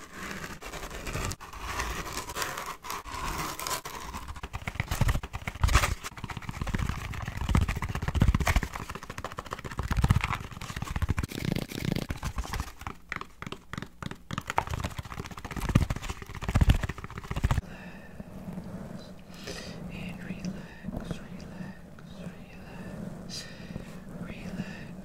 and relax, relax, relax, relax.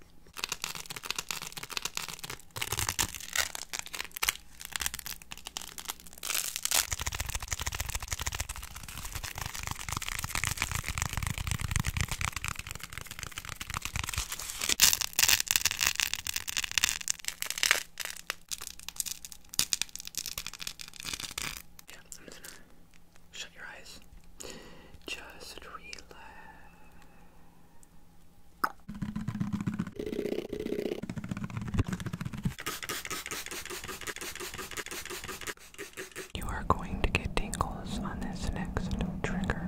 Yeah, I'm just going shut your eyes. Just relax. You are going to get tingles on this next trigger.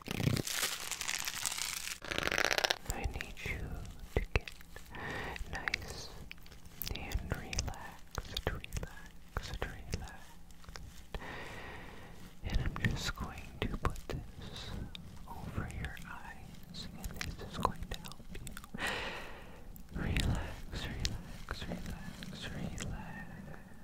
I need you to get nice and relaxed, relaxed, relaxed. And I'm just going to put this over your eyes, and this is going to help you. Relax, relax, relax, relax.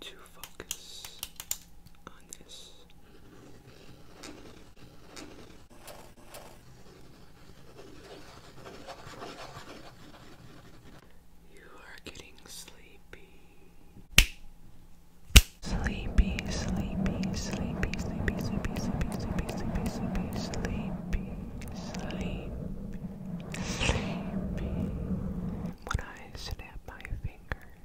To focus on this. You are getting sleepy. Sleepy, sleepy, sleepy, sleepy, sleepy, sleepy, sleepy, sleepy, sleepy, sleepy, sleepy, When I snap my fingers,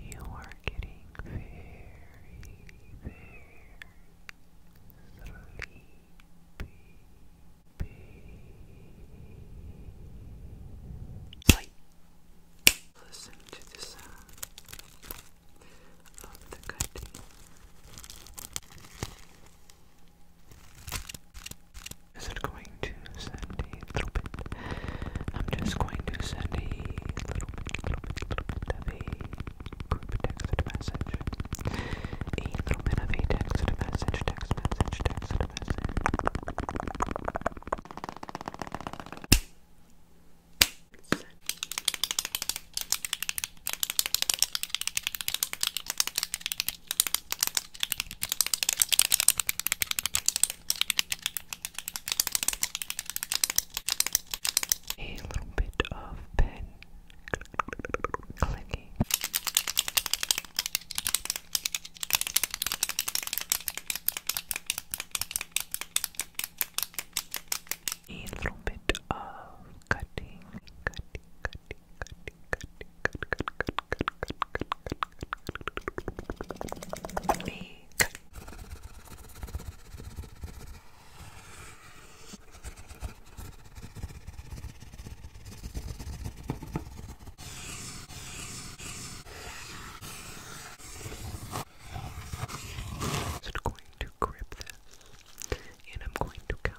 You are getting very, very sleepy. Listen to the sound of the cutting isn't going to send a little bit. I'm just going to send a little bit, little bit, little bit of a group text message. A little bit of a text message, text message, text message. A little bit of pen clicking. A little bit of cutting, me cut. So I'm going to grip this and I'm going to count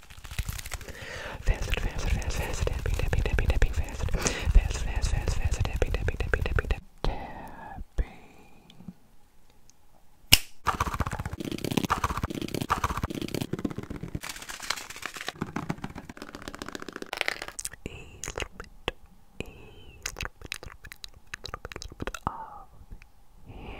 Fast, fast, fast, fast, tapping, tapping, tapping, tapping, fast. Fast, fast, fast, fast, tapping, tapping, tapping, tapping, tapping. A little bit, a little bit, little bit, little bit, little bit, little bit of hands.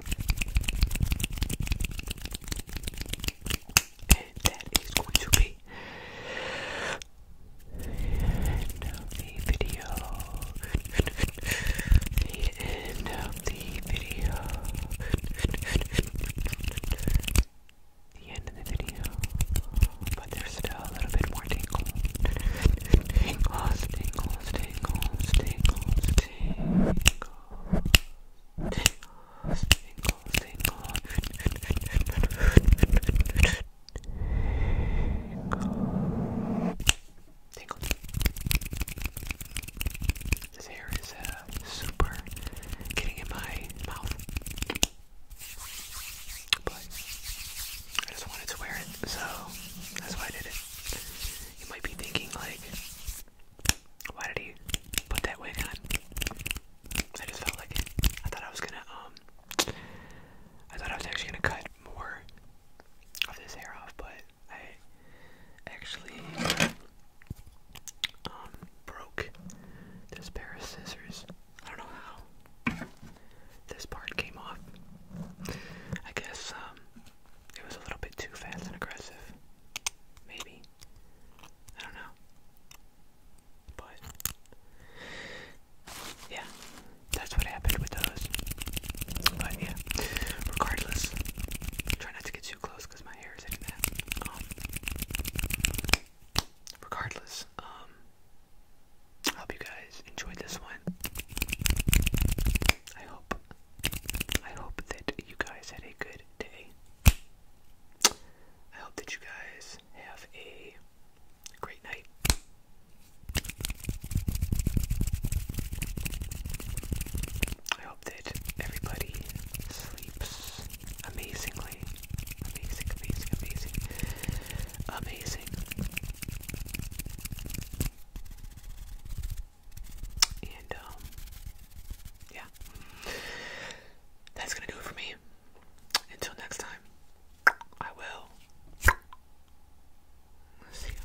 And that is going to be the end of the video. The end of the video. The end of the video. But there's still a little bit more tingle. Tingles, tingles, tingles, tingles, tingles, tingles, tingles, tingles. This hair is uh, super getting in my mouth. But I just wanted to wear it, so that's why I did it. You might be thinking, like, why did he put that wig on? I just felt like I thought I was gonna, um, I thought I was actually gonna cut more of this hair off, but I actually, um, broke this pair of scissors. I don't know how this part came off. I guess, um, it was a little bit too fast and aggressive. Maybe. I don't know. But yeah, that's what happened with those. But yeah, regardless, try not to get too close because my hair is hitting that. Um, regardless, um, hope you guys enjoyed this one. I hope I hope that you guys had a good day. I hope that you guys have a great night. I hope that everybody sleeps amazingly. Amazing, amazing, amazing. Amazing. And, um, yeah. That's gonna do it for me. Until next time, I will see you.